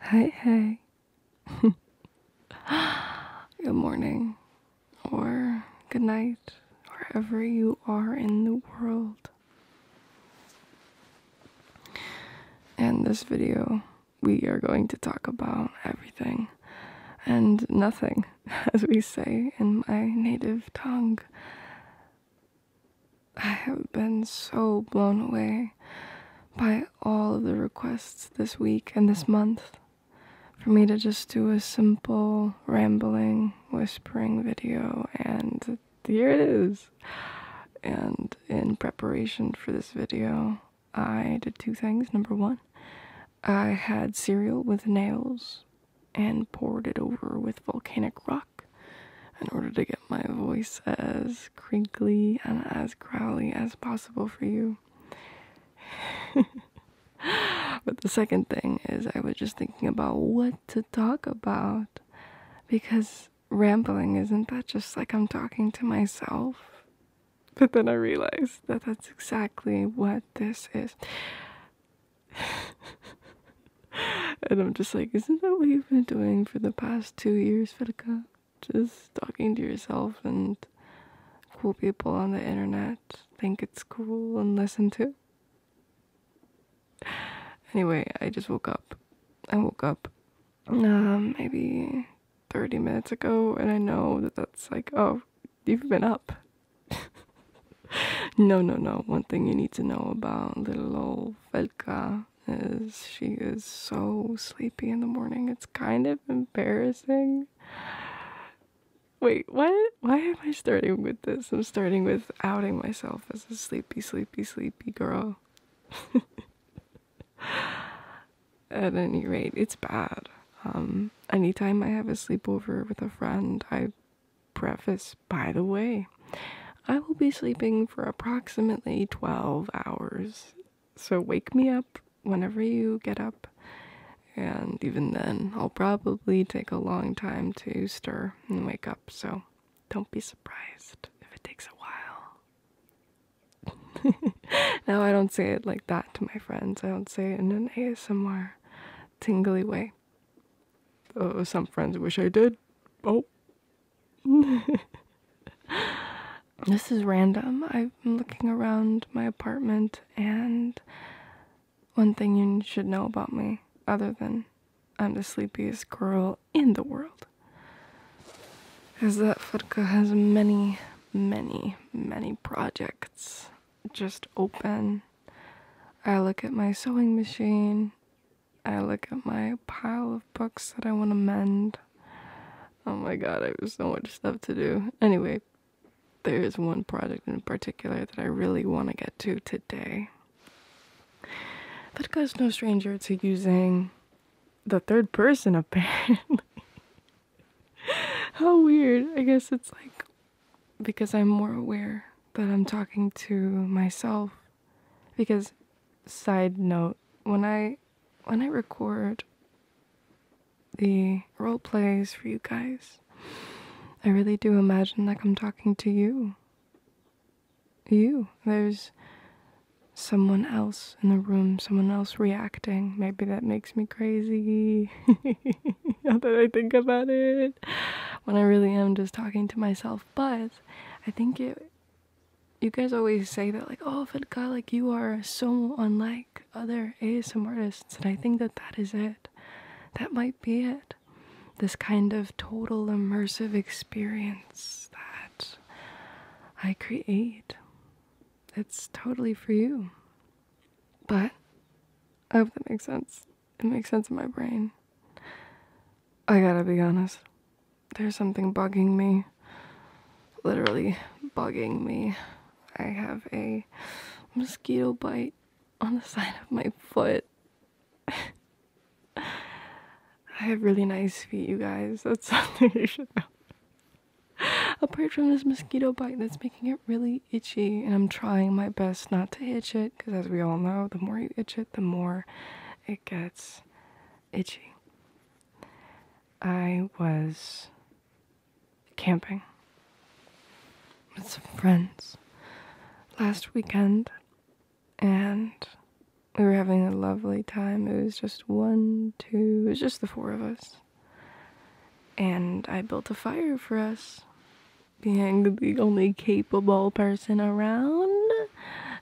Hey, hey. good morning, or good night, wherever you are in the world. In this video, we are going to talk about everything and nothing, as we say in my native tongue. I have been so blown away by all of the requests this week and this month for me to just do a simple rambling, whispering video, and here it is. And in preparation for this video, I did two things. Number one, I had cereal with nails and poured it over with volcanic rock in order to get my voice as crinkly and as growly as possible for you. but the second thing is, I was just thinking about what to talk about because rambling isn't that just like I'm talking to myself? But then I realized that that's exactly what this is. and I'm just like, isn't that what you've been doing for the past? two years, Fitica. Just talking to yourself and cool people on the internet think it's cool and listen to. Anyway, I just woke up. I woke up um, maybe 30 minutes ago, and I know that that's like, oh, you've been up. no, no, no. One thing you need to know about little old now is she is so sleepy in the morning. It's kind of embarrassing. Wait, what? Why am I starting with this? I'm starting with outing myself as a sleepy, sleepy, sleepy girl. At any rate, it's bad. Um, anytime I have a sleepover with a friend, I preface, by the way, I will be sleeping for approximately 12 hours. So wake me up whenever you get up. And even then, I'll probably take a long time to stir and wake up. So don't be surprised if it takes a while. now, I don't say it like that to my friends, I don't say it in an ASMR tingly way. Oh, some friends wish I did. Oh, this is random. I'm looking around my apartment, and one thing you should know about me, other than I'm the sleepiest girl in the world, is that Furka has many, many, many projects just open. I look at my sewing machine I look at my pile of books that I want to mend. Oh my god, I have so much stuff to do. Anyway, there is one project in particular that I really want to get to today. Vodka's no stranger to using the third person, apparently. How weird. I guess it's like because I'm more aware that I'm talking to myself because side note, when I when I record the role plays for you guys, I really do imagine like I'm talking to you. You. There's someone else in the room, someone else reacting. Maybe that makes me crazy. now that I think about it, when I really am just talking to myself. But I think it you guys always say that like oh if like you are so unlike other asm artists and i think that that is it that might be it this kind of total immersive experience that i create it's totally for you but i hope that makes sense it makes sense in my brain I gotta be honest. There's something bugging me. Literally bugging me. I have a mosquito bite on the side of my foot. I have really nice feet, you guys. That's something you should know. Apart from this mosquito bite that's making it really itchy, and I'm trying my best not to itch it because, as we all know, the more you itch it, the more it gets itchy. I was camping with some friends last weekend and we were having a lovely time. It was just one, two, it was just the four of us. And I built a fire for us being the only capable person around.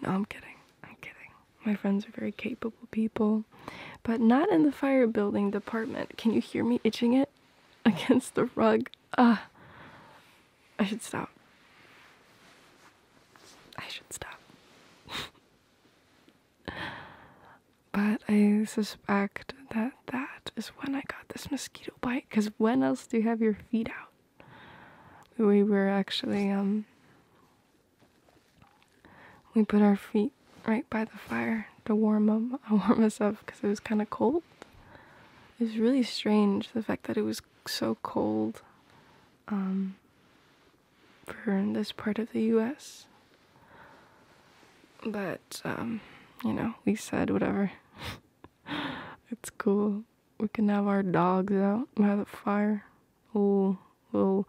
No, I'm kidding. I'm kidding. My friends are very capable people, but not in the fire building department. Can you hear me itching it against the rug? Ah, uh, I should stop. I should stop. but I suspect that that is when I got this mosquito bite because when else do you have your feet out? We were actually, um, we put our feet right by the fire to warm them, warm us up because it was kind of cold. It was really strange the fact that it was so cold um, for this part of the U.S. But um, you know, we said whatever. it's cool we can have our dogs out by the fire. A little, little,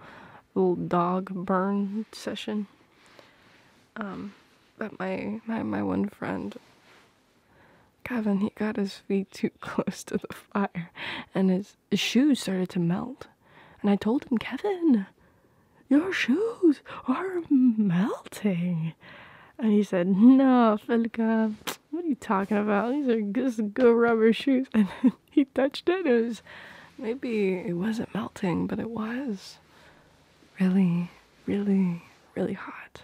little dog burn session. Um, but my, my, my one friend, Kevin, he got his feet too close to the fire and his, his shoes started to melt. And I told him, Kevin, your shoes are melting. And he said, No, Philka, what are you talking about? These are just good rubber shoes. And he touched it. It was maybe it wasn't melting, but it was really, really, really hot.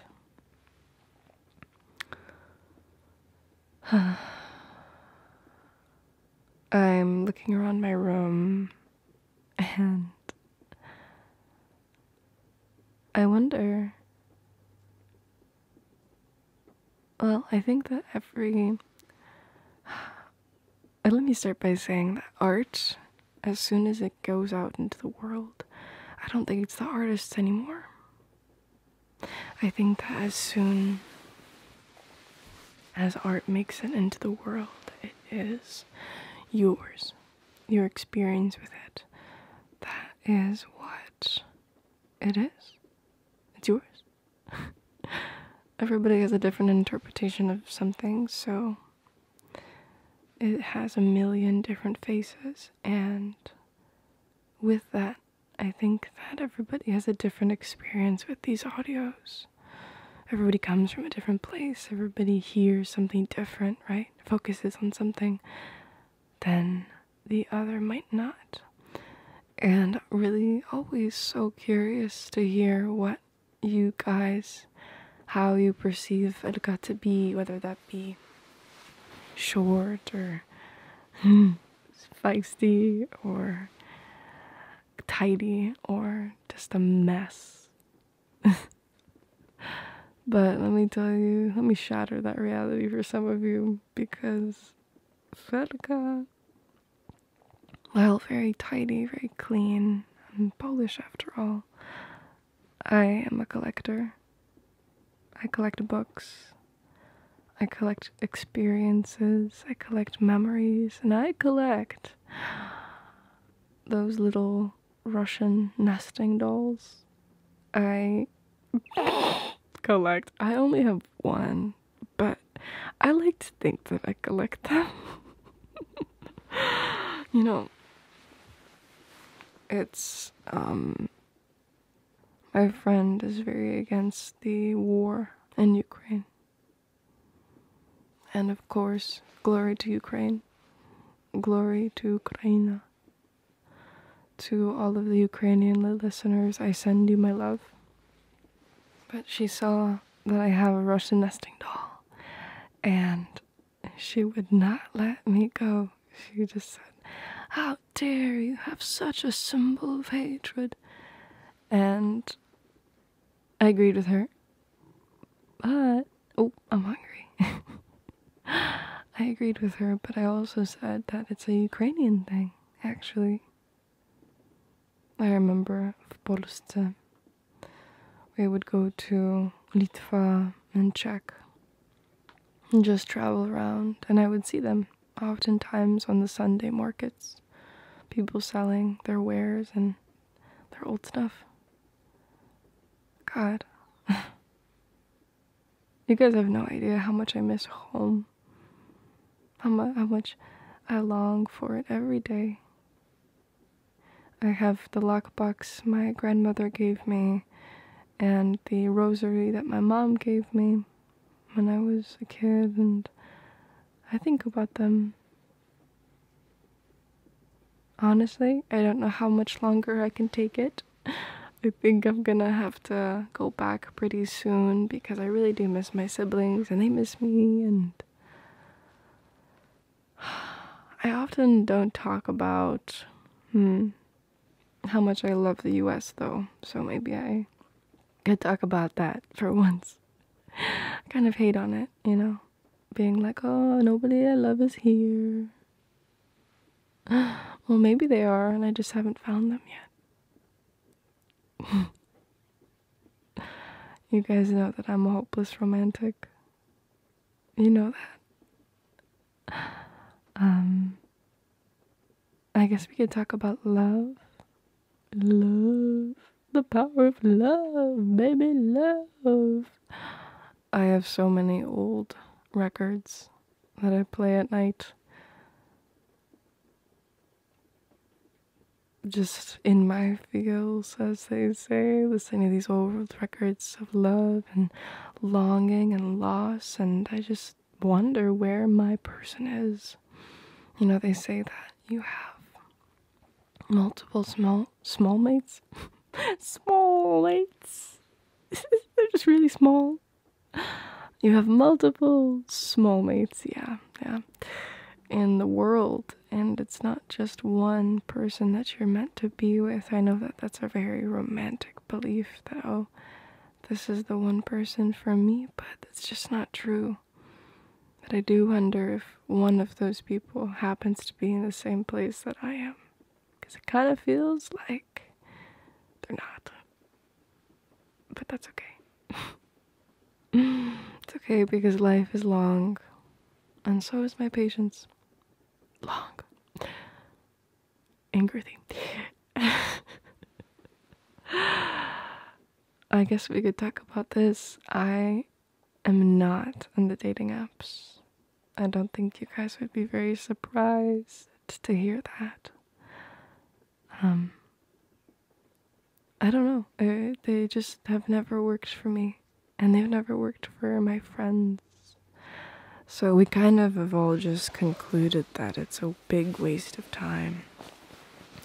I'm looking around my room and I wonder. Well, I think that every. Let me start by saying that art, as soon as it goes out into the world, I don't think it's the artist anymore. I think that as soon as art makes it into the world, it is yours your experience with it. That is what it is. It's yours. Everybody has a different interpretation of something, so it has a million different faces, and with that, I think that everybody has a different experience with these audios. Everybody comes from a different place, everybody hears something different, right? Focuses on something then the other might not. And really, always so curious to hear what you guys, how you perceive it got to be, whether that be short or hmm, feisty or tidy or just a mess. But let me tell you, let me shatter that reality for some of you because Verga, well, very tidy, very clean, I'm Polish after all. I am a collector. I collect books. I collect experiences. I collect memories. And I collect those little Russian nesting dolls. I collect. I only have one, but I like to think that I collect them. you know, it's, um, my friend is very against the war in Ukraine. And of course, glory to Ukraine. Glory to Ukraina. To all of the Ukrainian listeners, I send you my love. But she saw that I have a Russian nesting doll, and she would not let me go. She just said, How dare you have such a symbol of hatred? And I agreed with her. But Oh, I'm hungry. I agreed with her, but I also said that it's a Ukrainian thing, actually. I remember for Polska. We would go to Litva and Czech and just travel around, and I would see them oftentimes on the Sunday markets. People selling their wares and their old stuff. God. you guys have no idea how much I miss home. How, much I long for it every day. I have the lockbox my grandmother gave me and the rosary that my mom gave me when I was a kid, and I think about them Honestly, I don't know how much longer I can take it. I think I'm gonna have to go back pretty soon because I really do miss my siblings and they miss me and I often don't talk about hmm, how much I love the US though, so maybe I could talk about that for once. I kind of hate on it, you know being like, oh, nobody I love is here. Well, maybe they are, and I just haven't found them yet. you guys know that I'm a hopeless romantic. You know that. Um, I guess we could talk about love. Love. The power of love, baby, love. I have so many old records that I play at night. Just in my feels, as they say, listening to these old records of love and longing and loss, and I just wonder where my person is. You know, they say that you have multiple small small, mates, small mates. They're just really small. You have multiple small mates, yeah, yeah, in the world, and it's not just one person that you're meant to be with. I know that that's a very romantic belief that oh, this is the one person for me, but it's just not true. But I do wonder if one of those people happens to be in the same place that I am because it kind of feels like they're not. But that's okay. it's okay because life is long, and so is my patience. Long. Angry. I guess we could talk about this. I am not on the dating apps. I don't think you guys would be very surprised to hear that. Um, I don't know. Uh, they just have never worked for me, and they've never worked for my friends. So we kind of have all just concluded that it's a big waste of time.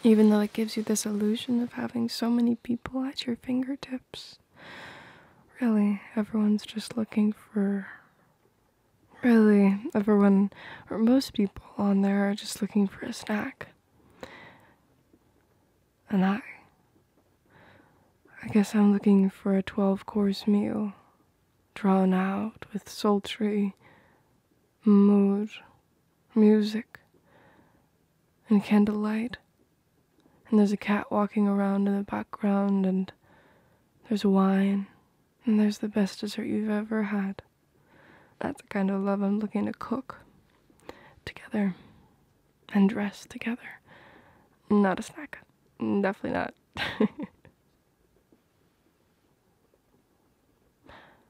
Even though it gives you this illusion of having so many people at your fingertips really everyone's just looking for. Really, everyone, or most people on there, are just looking for a snack. And I. I guess I'm looking for a 12 course meal, drawn out with sultry mood, music, and candlelight. And there's a cat walking around in the background, and there's wine, and there's the best dessert you've ever had. That's the kind of love I'm looking to cook together and dress together. Not a snack. Definitely not.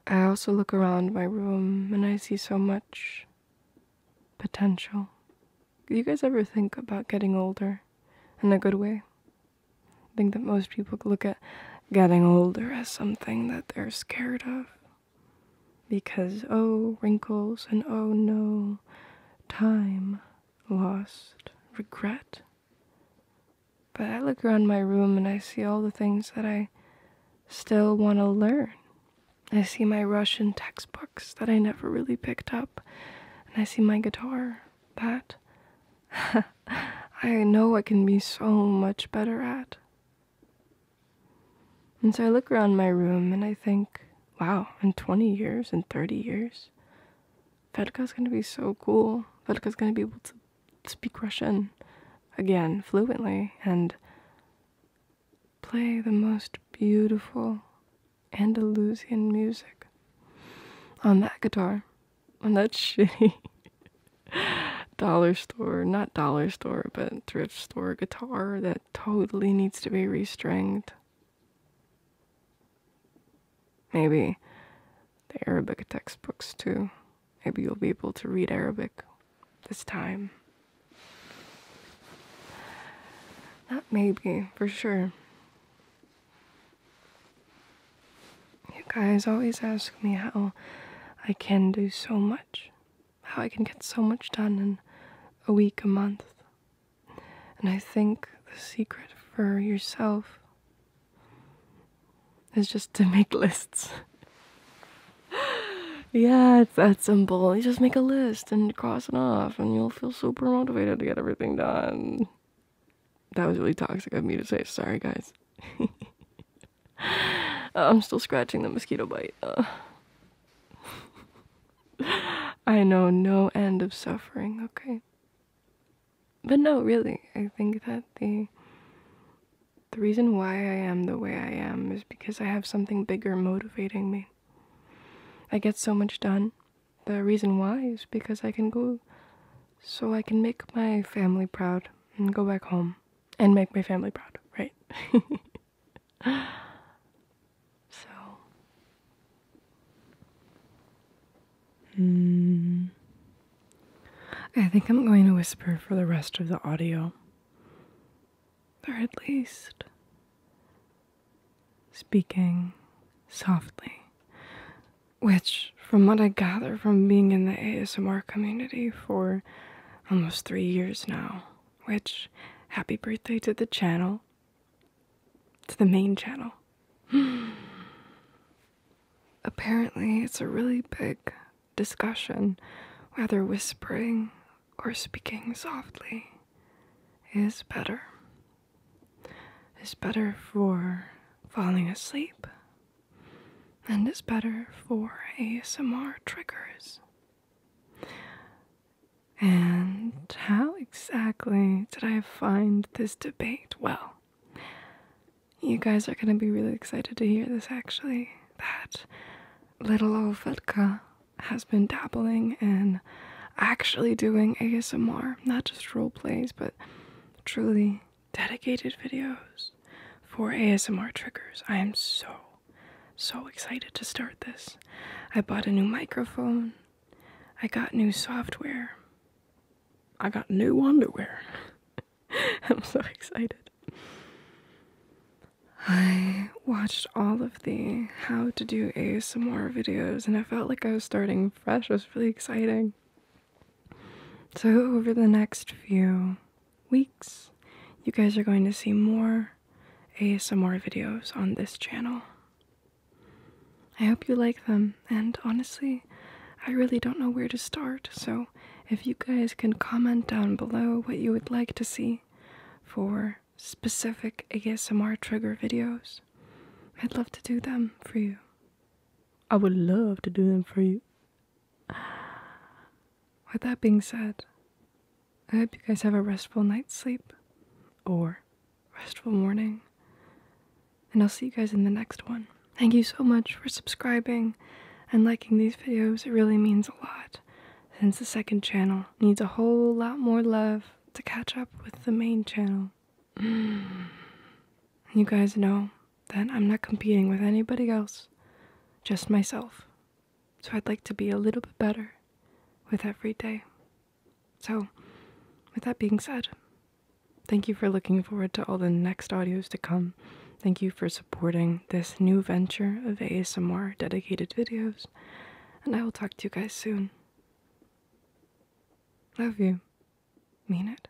I also look around my room and I see so much potential. Do you guys ever think about getting older in a good way? I think that most people look at getting older as something that they're scared of. Because, oh, wrinkles, and oh no, time lost, regret. But I look around my room and I see all the things that I still want to learn I see my Russian textbooks that I never really picked up, and I see my guitar that I know I can be so much better at. And so I look around my room and I think, wow, in 20 years, in 30 years, Vedka's gonna be so cool. Vedka's gonna be able to speak Russian again fluently, and play the most beautiful Andalusian music on that guitar, on that shitty dollar store, not dollar store, but thrift store guitar that totally needs to be restringed. Maybe the Arabic textbooks too. Maybe you'll be able to read Arabic this time. that may be for sure. You guys always ask me how I can do so much, how I can get so much done in a week, a month. And I think the secret for yourself is just to make lists. yeah, it's that simple. You just make a list and cross it off, and you'll feel super motivated to get everything done. That was really toxic of me to say. Sorry, guys. I'm still scratching the mosquito bite. I know no end of suffering, okay? But no, really, I think that the the reason why I am the way I am is because I have something bigger motivating me. I get so much done. The reason why is because I can go so I can make my family proud and go back home and make my family proud, right? so. Hmm. I think I'm going to whisper for the rest of the audio or at least speaking softly, which, from what I gather from being in the ASMR community for almost three years now, which, happy birthday to the channel, to the main channel. Apparently, it's a really big discussion, whether whispering or speaking softly, is better. Is better for falling asleep and is better for ASMR triggers. And how exactly did I find this debate? Well, you guys are going to be really excited to hear this actually. That little old vodka has been dabbling in actually doing ASMR, not just role plays, but truly dedicated videos for ASMR triggers. I am so, so excited to start this. I bought a new microphone, I got new software, I got new underwear. I'm so excited. I watched all of the how to do ASMR videos and I felt like I was starting fresh. It was really exciting. So, over the next few weeks, you guys are going to see more ASMR videos on this channel. I hope you like them, and honestly, I really don't know where to start. So, if you guys can comment down below what you would like to see for specific ASMR trigger videos, I'd love to do them for you. I would love to do them for you. With that being said, I hope you guys have a restful night's sleep or restful morning. And I'll see you guys in the next one. Thank you so much for subscribing and liking these videos. It really means a lot since the second channel needs a whole lot more love to catch up with the main channel. you guys know that I'm not competing with anybody else, just myself. So I'd like to be a little bit better with every day. So, with that being said, thank you for looking forward to all the next audios to come. Thank you for supporting this new venture of ASMR dedicated videos, and I will talk to you guys soon. Love you. Mean it.